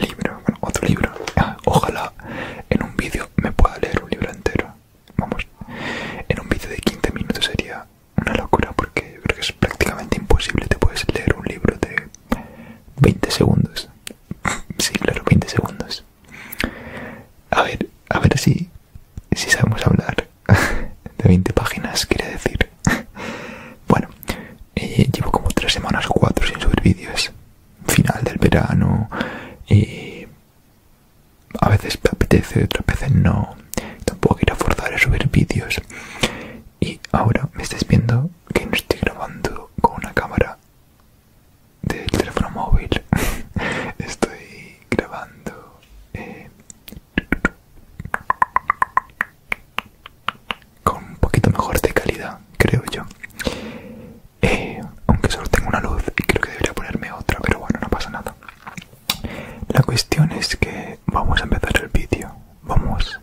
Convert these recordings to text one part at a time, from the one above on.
libro, bueno, otro libro. Ah, ojalá en un vídeo me pueda leer un libro entero. Vamos, en un vídeo de 15 minutos sería una locura porque es prácticamente imposible. Te puedes leer un libro de 20 segundos. sí, claro, 20 segundos. A ver, a ver si, si sabemos hablar de 20 páginas, quiere decir. bueno, eh, llevo como tres semanas cuatro sin subir vídeos. Final del verano. Y... Eh, a veces me apetece, otras veces no. Tampoco quiero forzar a subir vídeos. Y ahora me estáis viendo que no estoy grabando con una cámara de teléfono móvil. estoy grabando eh, con un poquito mejor de calidad creo yo eh, aunque solo tengo una luz y creo que debería ponerme otra pero bueno no pasa nada la cuestión es que vamos a empezar el vídeo vamos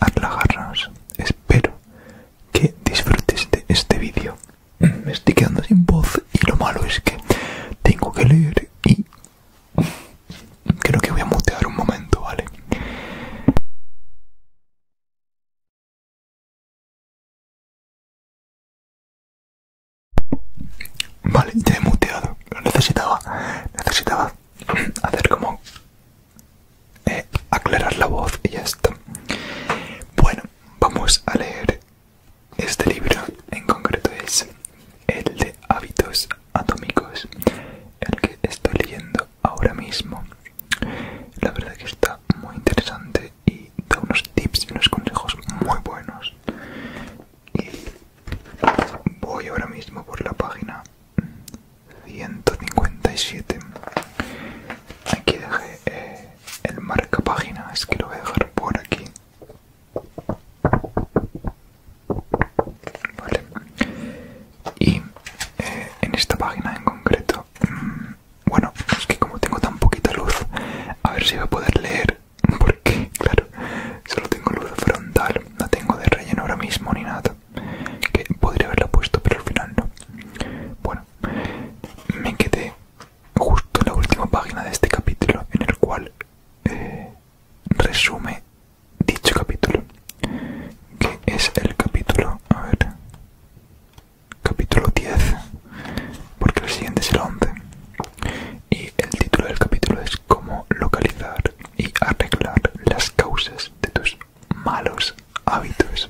a relajarnos espero que disfrutes de este vídeo me estoy quedando sin voz y lo malo es que tengo que leer y creo que voy a mutear un momento, ¿vale? Vale, ya he muteado. Lo necesitaba. Necesitaba hacer como... Eh, aclarar la voz y ya Bueno, vamos a leer este libro. En concreto es el de hábitos atómicos. El que estoy leyendo ahora mismo. La verdad que está muy interesante y da unos tips y unos consejos muy buenos. Y voy ahora mismo por la página 157. Aquí dejé eh, el marca página, es que lo voy a dejar por aquí. Vale y eh, en esta página en concreto mm, bueno es que como tengo tan poquita luz a ver si voy a poder leer porque claro solo tengo luz frontal no tengo de relleno ahora mismo ni nada que podría haberla puesto pero al final no bueno me quedé justo en la última página de este capítulo en el cual eh, resume dicho capítulo que es el capítulo a ver capítulo 10 porque el siguiente es el 11 y el título del capítulo es cómo localizar y arreglar las causas de tus malos hábitos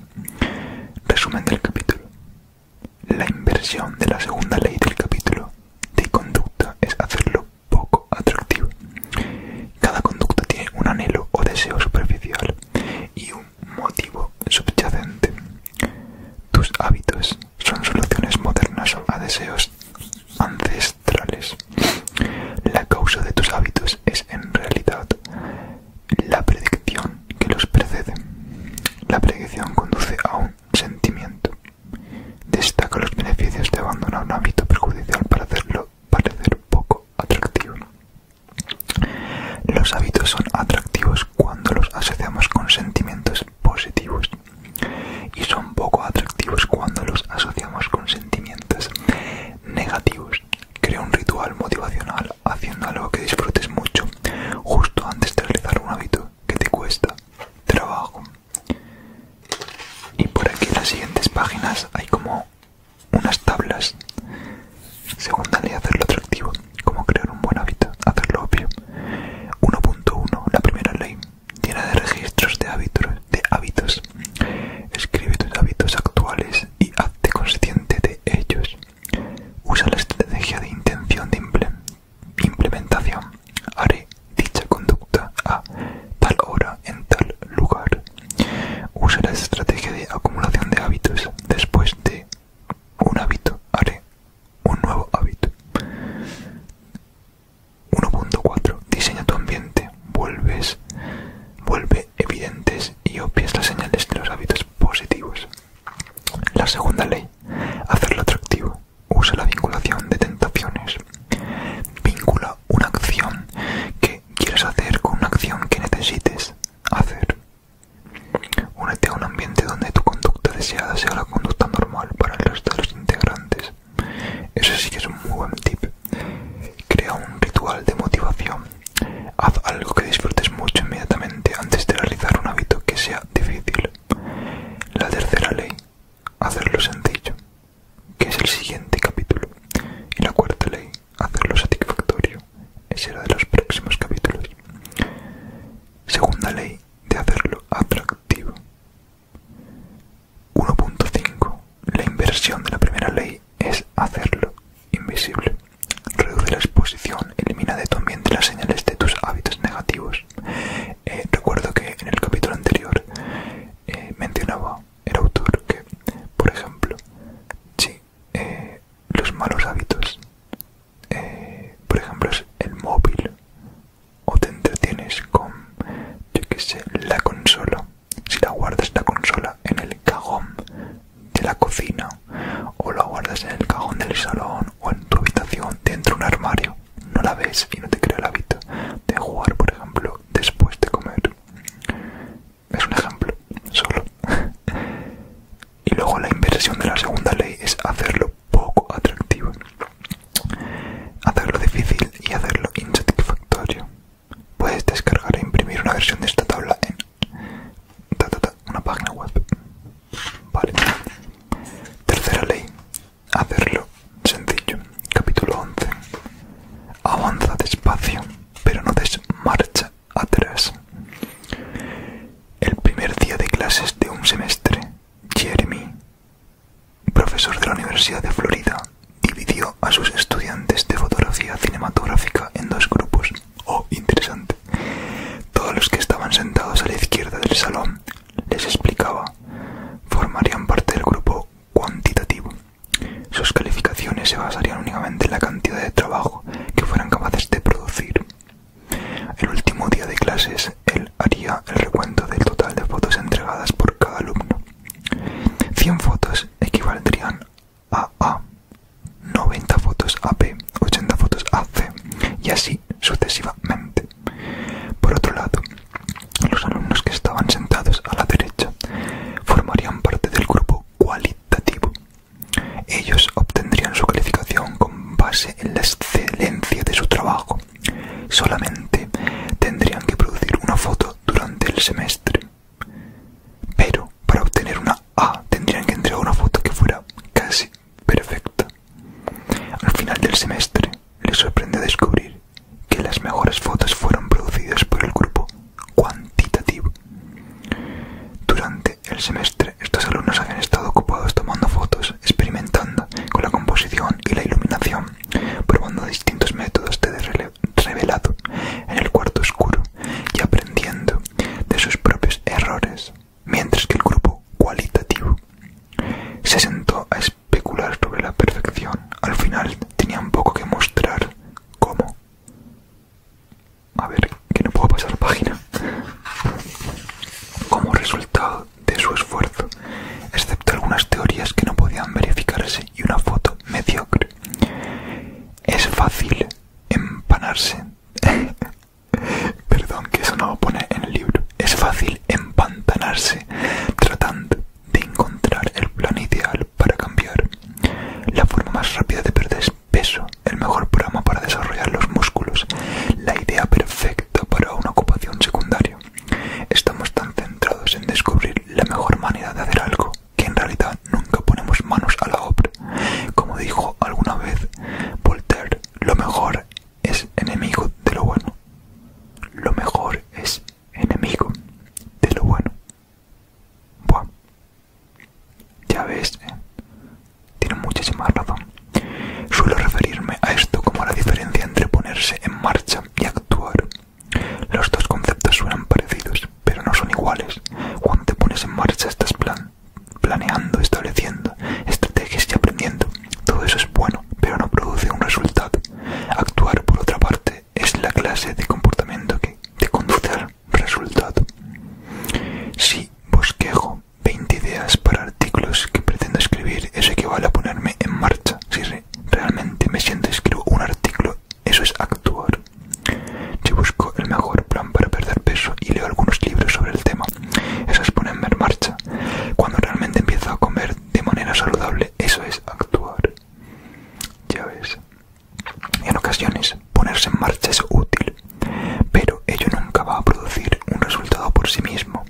resumen del capítulo la inversión de la segunda ley del capítulo de conducta es hacerlo poco atractivo cada conducta tiene un anhelo o deseo superficial y un motivo subyacente. Tus hábitos son soluciones modernas a deseos ancestrales. La causa de tus hábitos es en realidad la predicción que los precede. La predicción conduce a un sentimiento. Destaca los beneficios de abandonar un hábito perjudicial para hacerlo parecer poco atractivo. Los hábitos son atractivos cuando los asociamos con sentimientos positivos y son poco atractivos cuando los asociamos con sentimientos negativos. Crea un ritual motivacional haciendo algo que disfrutes mucho justo antes de realizar un hábito que te cuesta trabajo. Y por aquí en las siguientes páginas hay como unas tablas. Segunda ley, hacerlo atractivo. Cómo crear un buen hábito? hacerlo obvio. 1.1. La primera ley. Llena de registros de hábitos, de hábitos. Escribe tus hábitos actuales y hazte consciente de ellos. Usa la estrategia de intención de implementación. Haré dicha conducta a tal hora en tal lugar. Usa la estrategia de acumulación de hábitos. Después de un hábito haré un nuevo hábito. 1.4. Diseña tu ambiente. Vuelves, vuelve evidentes y obvias las señales de los hábitos positivos. La segunda ley. Hacerlo atractivo. Usa la vinculación de tentaciones. Vincula una acción que quieres hacer con una acción que necesites hacer. Únete a un ambiente donde tu conducta deseada sea la conducta normal para los resto de los integrantes. Eso sí que es un muy buen tip. Crea un ritual de motivación. Haz algo que disfrutes mucho inmediatamente antes de realizar un hábito que sea difícil. La tercera ley, hacerlo sencillo, que es el siguiente capítulo. Y la cuarta ley, hacerlo satisfactorio será de los próximos capítulos. Segunda ley de hacerlo atractivo. 1.5. La inversión de la primera ley es hacerlo invisible. Reduce la exposición, elimina de tu ambiente las señales de tus hábitos negativos. Eh, recuerdo que en el capítulo anterior eh, mencionaba el autor que, por ejemplo, si eh, los malos hábitos, eh, por ejemplo, es el móvil, o te entretienes con, yo que sé, la consola, si la guardas la consola en el cajón de la cocina, o la guardas en el cajón del salón, o en tu habitación, dentro de un armario, no la ves y no te crea el hábito de jugar, por ejemplo, después de comer es un ejemplo solo. y luego la inversión de la segunda ley es hacerlo poco atractivo, hacerlo difícil y hacerlo insatisfactorio. Puedes descargar e imprimir una versión de esta tabla en una página web. Vale. Tercera ley, hacerlo sencillo. Capítulo 11. Avanza despacio pero no des marcha atrás. El primer día de clases de un semestre, Jeremy, profesor de la Universidad de Florida, dividió a sus estudiantes de fotografía cinematográfica en dos grupos. Oh, interesante. Todos los que estaban sentados a la izquierda del salón, les explicaba, formarían parte del grupo cuantitativo sus calificaciones se basarían únicamente en la cantidad de trabajo que fueran capaces de producir. El último día de clases, él haría el recuento del total de fotos entregadas por cada alumno. 100 fotos equivaldrían a A, 90 fotos a B, 80 fotos a C y así sucesivamente. Por otro lado, los alumnos que estaban sentados a la derecha formarían parte del grupo cualitativo. Ellos obtendrían su calificación con base en la excelencia de su trabajo. Solamente tendrían que producir una foto durante el semestre. Pero para obtener una A tendrían que entregar una foto que fuera casi perfecta. Al final del semestre les sorprende descubrir que las mejores fotos fueron producidas por el grupo cuantitativo. Durante el semestre, estos alumnos habían estado ocupados tomando fotos, experimentando con la composición y la iluminación, probando distintos métodos de revelado en el cuarto oscuro y aprendiendo de sus propios errores, mientras que el grupo cualitativo se sentó a especular sobre la perfección. Al final tenían poco que mostrar cómo. A ver, que no puedo pasar página. Como resultado de su esfuerzo, excepto algunas teorías que no podían verificarse y una foto mediocre, es fácil empanarse. Perdón, que eso no lo pone en el libro. Es fácil empantanarse tratando de encontrar el plan ideal para cambiar. La forma más rápida de perder peso, el mejor programa para desarrollar los músculos, la idea perfecta para una ocupación secundaria. Estamos tan centrados en descubrir la mejor manera de hacer algo que en realidad nunca ponemos manos a la obra. Como dijo alguna vez Voltaire, lo mejor es enemigo de lo bueno. Lo mejor es enemigo de lo bueno. Buah, ya ves, eh. tiene muchísima razón. Suelo referirme a esto como la diferencia entre ponerse en marcha y actuar. Los dos conceptos suenan parecidos, pero no son iguales. Cuando te pones en marcha estás plan planeando, estableciendo estrategias y aprendiendo. Todo eso es bueno, pero no produce un resultado. Actuar, por otra parte, es la clase de comportamiento que conduce al resultado. Si bosquejo 20 ideas para artículos que pretendo escribir, eso equivale a ponerme en marcha. Si realmente me siento escribo un artículo, eso es actuar. Si busco el mejor plan para perder peso y leo algunos libros sobre el tema, eso es ponerme en marcha. Cuando realmente empiezo a comer de manera saludable, eso es actuar. Ya ves, en ocasiones ponerse en marcha es útil, pero ello nunca va a producir un resultado por sí mismo.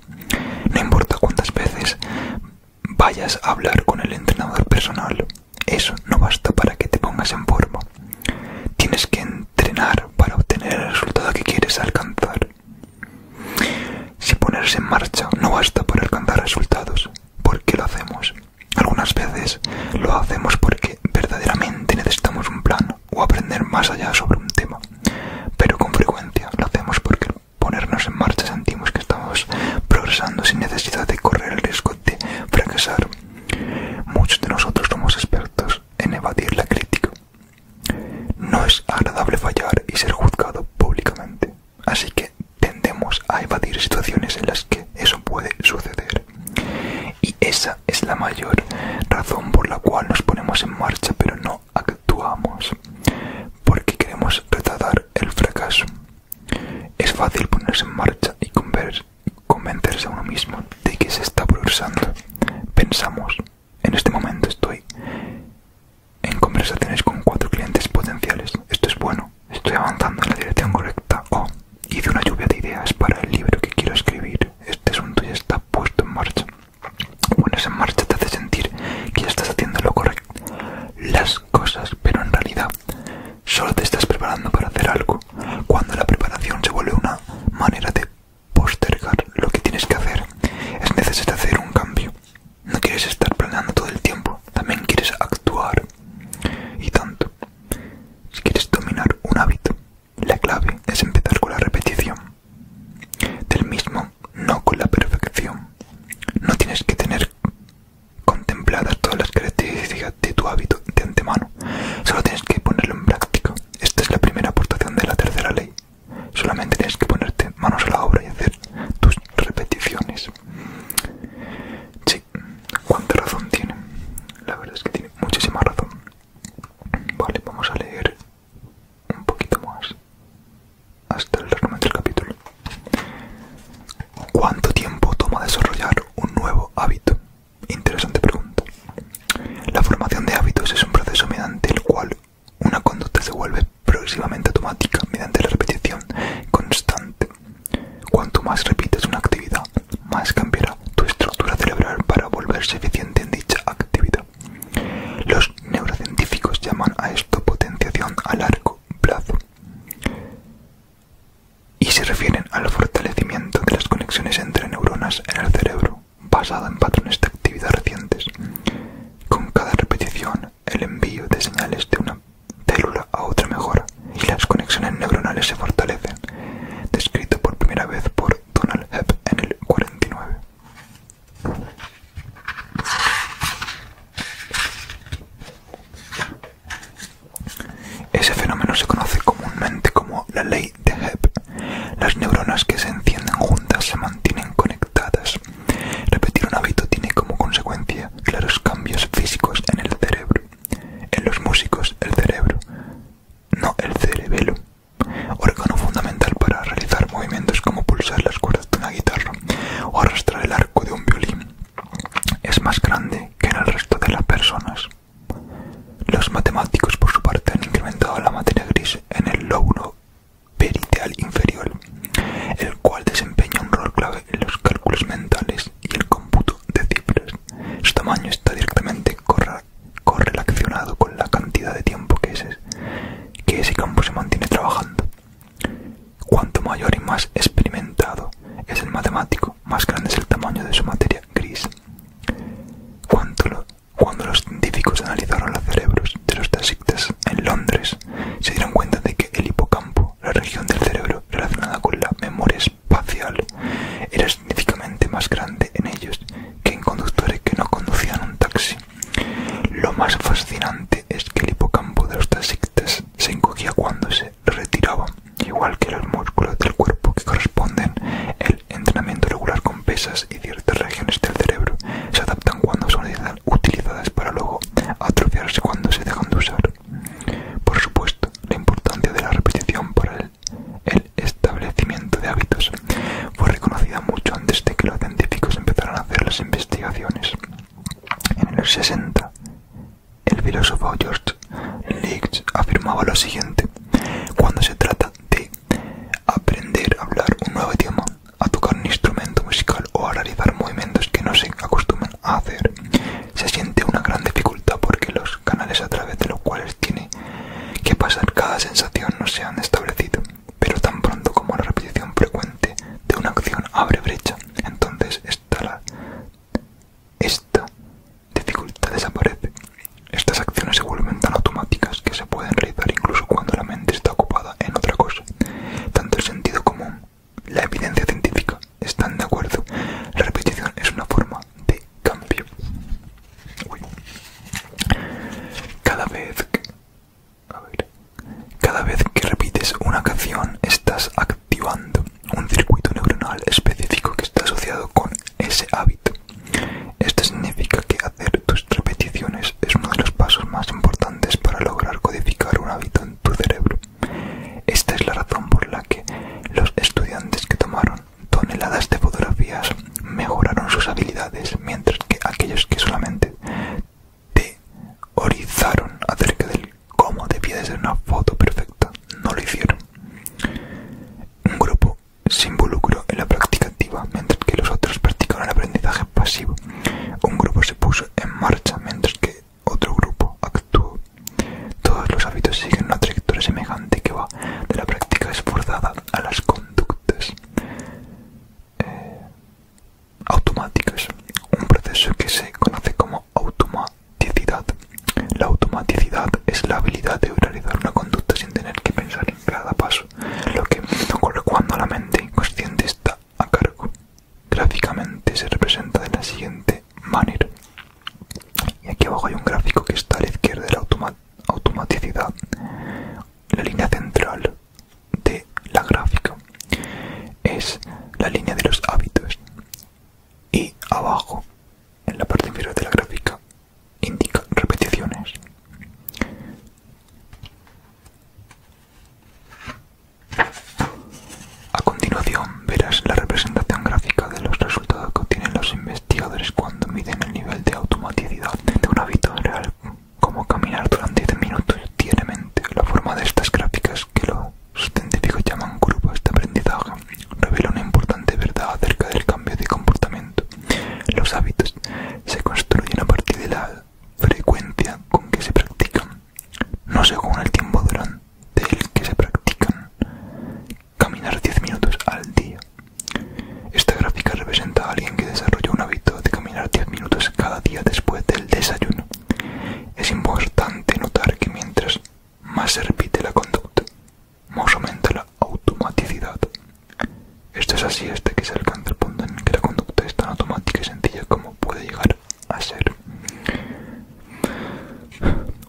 No importa cuántas veces vayas a hablar con el entrenador personal, eso no basta para que te pongas en forma. Tienes que entrenar para obtener el resultado que quieres alcanzar. Si ponerse en marcha no basta para alcanzar resultados, ¿por qué lo hacemos? Algunas veces lo hacemos porque verdaderamente necesitamos un plan o aprender más allá sobre un tema, pero con frecuencia lo hacemos porque ponernos en marcha sentimos que estamos progresando sin necesidad de correr el riesgo de fracasar. Muchos de nosotros somos expertos en evadir la crítica. No es agradable fallar y ser juzgado públicamente, así que tendemos a evadir situaciones en las que eso puede suceder. Y esa es la mayor razón por la cual nos ponemos en marcha pero no actuamos. Porque queremos retardar el fracaso. Es fácil ponerse en marcha y convencerse a uno mismo de que se está progresando. Pensamos, en este momento estoy en conversaciones con cuatro clientes potenciales. Esto es bueno. Estoy avanzando en la dirección correcta. o oh, hice una lluvia de ideas para el libro que quiero escribir. Este asunto ya está puesto en marcha. Bueno, en marcha te hace sentir que ya estás haciendo lo correcto, las cosas, pero en realidad solo te estás preparando para hacer algo. Cuando la preparación se vuelve una manera de postergar lo que tienes que hacer, es necesario hacer un cambio. No quieres estar planeando todo el tiempo, también quieres actuar. Y tanto, si quieres dominar un hábito, la clave es empezar con la repetición del mismo, no con la perfección. No tienes que tener contempladas todas las características de tu hábito de antemano, solo tienes que ponerlo en práctica. Esta es la primera aportación de la tercera ley. Solamente tienes que ponerte manos a la obra y hacer tus repeticiones cuánta razón tiene. La verdad es que tiene muchísima razón. Vale, vamos a leer un poquito más hasta el final del capítulo. ¿Cuánto tiempo toma desarrollar un nuevo hábito? Interesante pregunta. La formación de hábitos es un proceso mediante el cual una conducta se vuelve progresivamente automática mediante la repetición constante Cuanto más repites una actividad, más cambiará tu estructura cerebral para volverse eficiente en dicha actividad. Los neurocientíficos llaman a esto potenciación a largo plazo y se refieren al fortalecimiento de las conexiones entre neuronas en el cerebro, basado en patrones de actividad recientes. Con cada repetición, el envío de señales de una célula a otra mejora, y las conexiones neuronales se fortalecen, descrito por primera vez por Donald Hebb en el 49. Ese fenómeno se conoce comúnmente como la ley de Hebb. Las neuronas que se encienden juntas se mantienen conectadas. Repetir un hábito tiene como consecuencia claros cambios físicos en el cerebro en los músicos el cerebro, no el cerebelo, órgano fundamental para realizar movimientos como pulsar las cuerdas de una guitarra o arrastrar el arco de un violín, es más grande que en el resto de las personas. Los matemáticos, por su parte, han incrementado la materia gris en el lóbulo periteal inferior, el cual desempeña un rol clave en los cálculos mentales y el cómputo de cifras. Su tamaño está directamente correlacionado con la cantidad de tiempo que ese, que ese campo se mantiene trabajando. Cuanto mayor y más experimentado es el matemático, más grande es el tamaño de su materia gris. Cuando, los científicos analizaron los cerebros de los taxistas en Londres, se dieron cuenta de que el hipocampo, la región del cerebro relacionada con la memoria espacial era significativamente más grande en ellos que en conductores que no conducían un taxi. Lo más fascinante es que el hipocampo de los taxistas se encogía cuando se retiraba. igual que los músculos del cuerpo que corresponden el entrenamiento regular con pesas y ciertas regiones del cerebro se adaptan cuando son utilizadas para luego atrofiarse cuando se dejan de usar. Por supuesto, la importancia de la repetición para el el establecimiento de hábitos fue reconocido mucho antes de que los científicos empezaran a hacer las investigaciones. En el 60, el filósofo George Leach afirmaba lo siguiente, cuando se trata de aprender a hablar un nuevo idioma, a tocar un instrumento musical o a realizar movimientos que no se acostumbran a hacer, se siente una gran dificultad porque los canales a través de los cuales tiene que pasar cada sensación no se han establecido, pero tan pronto como la repetición frecuente de una acción abre brecha, entonces esta, esta dificultad desaparece. Estas acciones se vuelven tan automáticas que se pueden realizar incluso cuando la mente está ocupada en otra cosa. Tanto el sentido común, la evidencia científica, están de acuerdo. La repetición es una forma de cambio. Cada vez cada vez que repites una canción estás activando un circuito neuronal específico que está asociado con ese hábito. Esto significa que hacer tus repeticiones es uno de los pasos más importantes para lograr codificar un hábito en tu cerebro. Esta es la razón por la que los estudiantes que tomaron toneladas de fotografías mejoraron sus habilidades, mientras que aquellos que solamente teorizaron acerca del cómo debía de ser una foto perfecta no lo hicieron. Un grupo se involucró en la práctica activa, mientras que los otros practicaron el aprendizaje pasivo. Un grupo se puso en marcha, mientras que otro grupo todos los hábitos siguen una trayectoria semejante que va de la práctica esforzada a las conductas eh, automáticas, un proceso que se conoce como automaticidad. La automaticidad es la habilidad de realizar una conducta sin tener que pensar en cada paso, lo que ocurre cuando la mente inconsciente está a cargo. Gráficamente se representa de la siguiente manera Y aquí abajo hay un gráfico que está a la izquierda de la automaticidad, la línea central de la gráfica es la línea de los hábitos y abajo en la parte inferior de la gráfica indica repeticiones a continuación verás la representación gráfica de los resultados que obtienen los investigadores cuando miden el nivel de automaticidad de un hábito real, como caminar durante 10 minutos diariamente. La forma de estas gráficas, que los científicos llaman grupos de aprendizaje, revela una importante verdad acerca del cambio de comportamiento. Los hábitos se construyen a partir de la frecuencia con que se practican, no según el tiempo durante el que se practican caminar 10 minutos al día. Esta gráfica representa a alguien que desarrolla un hábito de caminar 10 minutos cada día después del desayuno. Es importante notar que mientras más se repite la conducta, más aumenta la automaticidad. Esto es así hasta que se alcanza el punto en que la conducta es tan automática y sencilla como puede llegar a ser.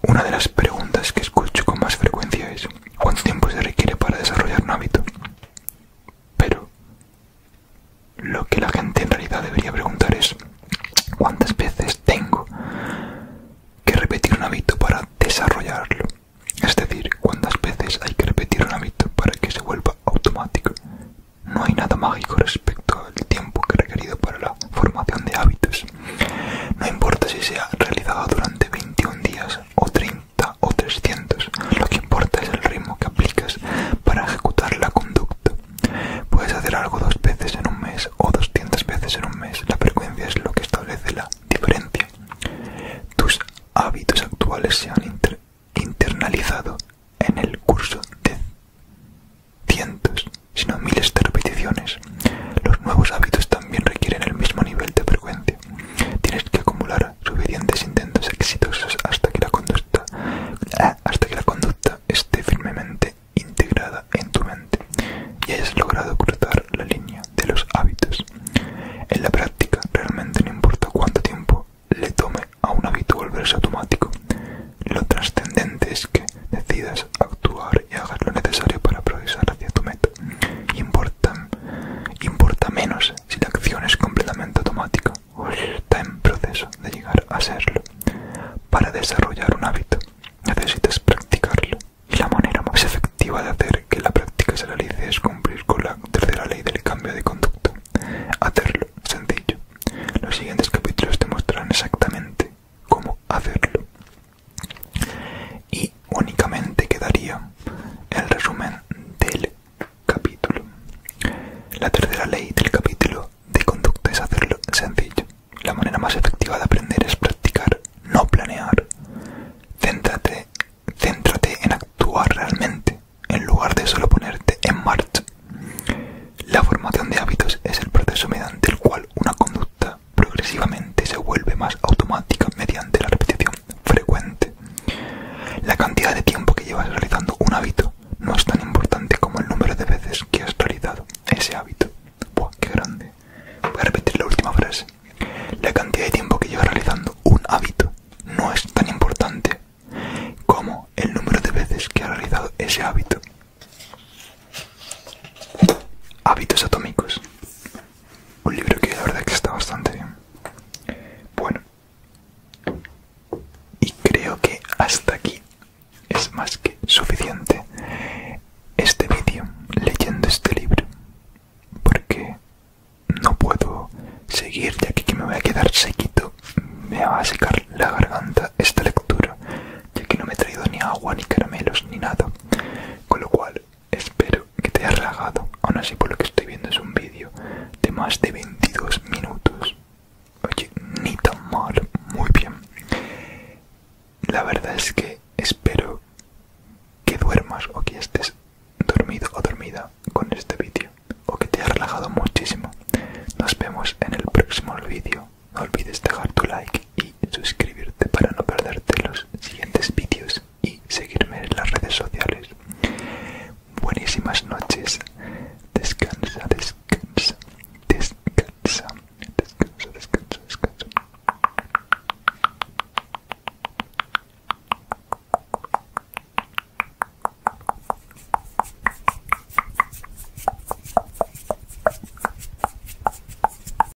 Una de las preguntas que escucho con más frecuencia es ¿cuánto tiempo se requiere para desarrollar un hábito? Pero lo que la gente en realidad debería preguntar es ¿cuántas veces tengo que repetir un hábito para desarrollarlo? Es decir, ¿cuántas veces hay que repetir un hábito para que se vuelva automático? No hay nada mágico respecto al tiempo que requerido para la formación de hábitos. No importa si se ha realizado durante 21 días o 30 o 300, lo que importa es el ritmo que aplicas para ejecutar la conducta. Puedes hacer algo dos veces en un mes o 200 veces en un mes, la frecuencia es lo que establece la diferencia. Tus hábitos actuales se han internalizado en el curso de cientos sino miles de repeticiones. Los nuevos hábitos también requieren el mismo nivel de frecuencia. Tienes que acumular suficientes intentos exitosos hasta que la conducta, ah, hasta que la conducta esté firmemente integrada en tu mente y hayas logrado cruzar la línea de los hábitos. En la práctica realmente no importa cuánto tiempo le tome a un hábito volverse automático. Lo trascendente es que decidas actuar y hagas lo necesario para progresar hacia tu meta importa, importa menos si la acción es completamente automática o está en proceso de llegar a serlo. Para desarrollar un hábito necesitas practicarlo y la manera más efectiva de hacer que la práctica se realice es cumplir con la tercera ley del cambio de conducta. Hacerlo sencillo. Los siguientes capítulos te mostrarán exactamente cómo hacerlo y únicamente quedaría el resumen del capítulo. La tercera ley del capítulo de conducta es hacerlo sencillo. La manera más efectiva de aprender es practicar, no planear. Céntrate, céntrate en actuar realmente, en lugar de solo ponerte en marcha. La formación de hábitos es el proceso mediante el cual una conducta progresivamente se vuelve más automática mediante la repetición frecuente. La cantidad de tiempo que llevas realizando un hábito no es tan importante como el número de veces que has realizado ese hábito. ¡Buah, qué grande! Voy a repetir la última frase. La cantidad de tiempo que llevas realizando un hábito no es tan importante como el número de veces que has realizado ese hábito. Hábitos atómicos. Un libro que la verdad que está bastante bien. Bueno. Y creo que hasta aquí es más que suficiente este vídeo leyendo este libro. Porque no puedo seguir ya que me voy a quedar sequito. Me va a secar la garganta esta lectura ya que no me he traído ni agua, ni caramelos, ni nada. Con lo cual Espero que te haya relajado, aún así por lo que estoy viendo es un vídeo de más de 22 minutos. Oye, ni tan mal, muy bien. La verdad es que espero que duermas o que estés dormido o dormida con este vídeo o que te haya relajado muchísimo. Nos vemos en el próximo vídeo. No olvides dejar tu like y suscribirte para no perderte los siguientes vídeos y seguirme en las redes sociales. Buenísimas noches. Descansa, descansa, descansa, descansa, descansa, descansa.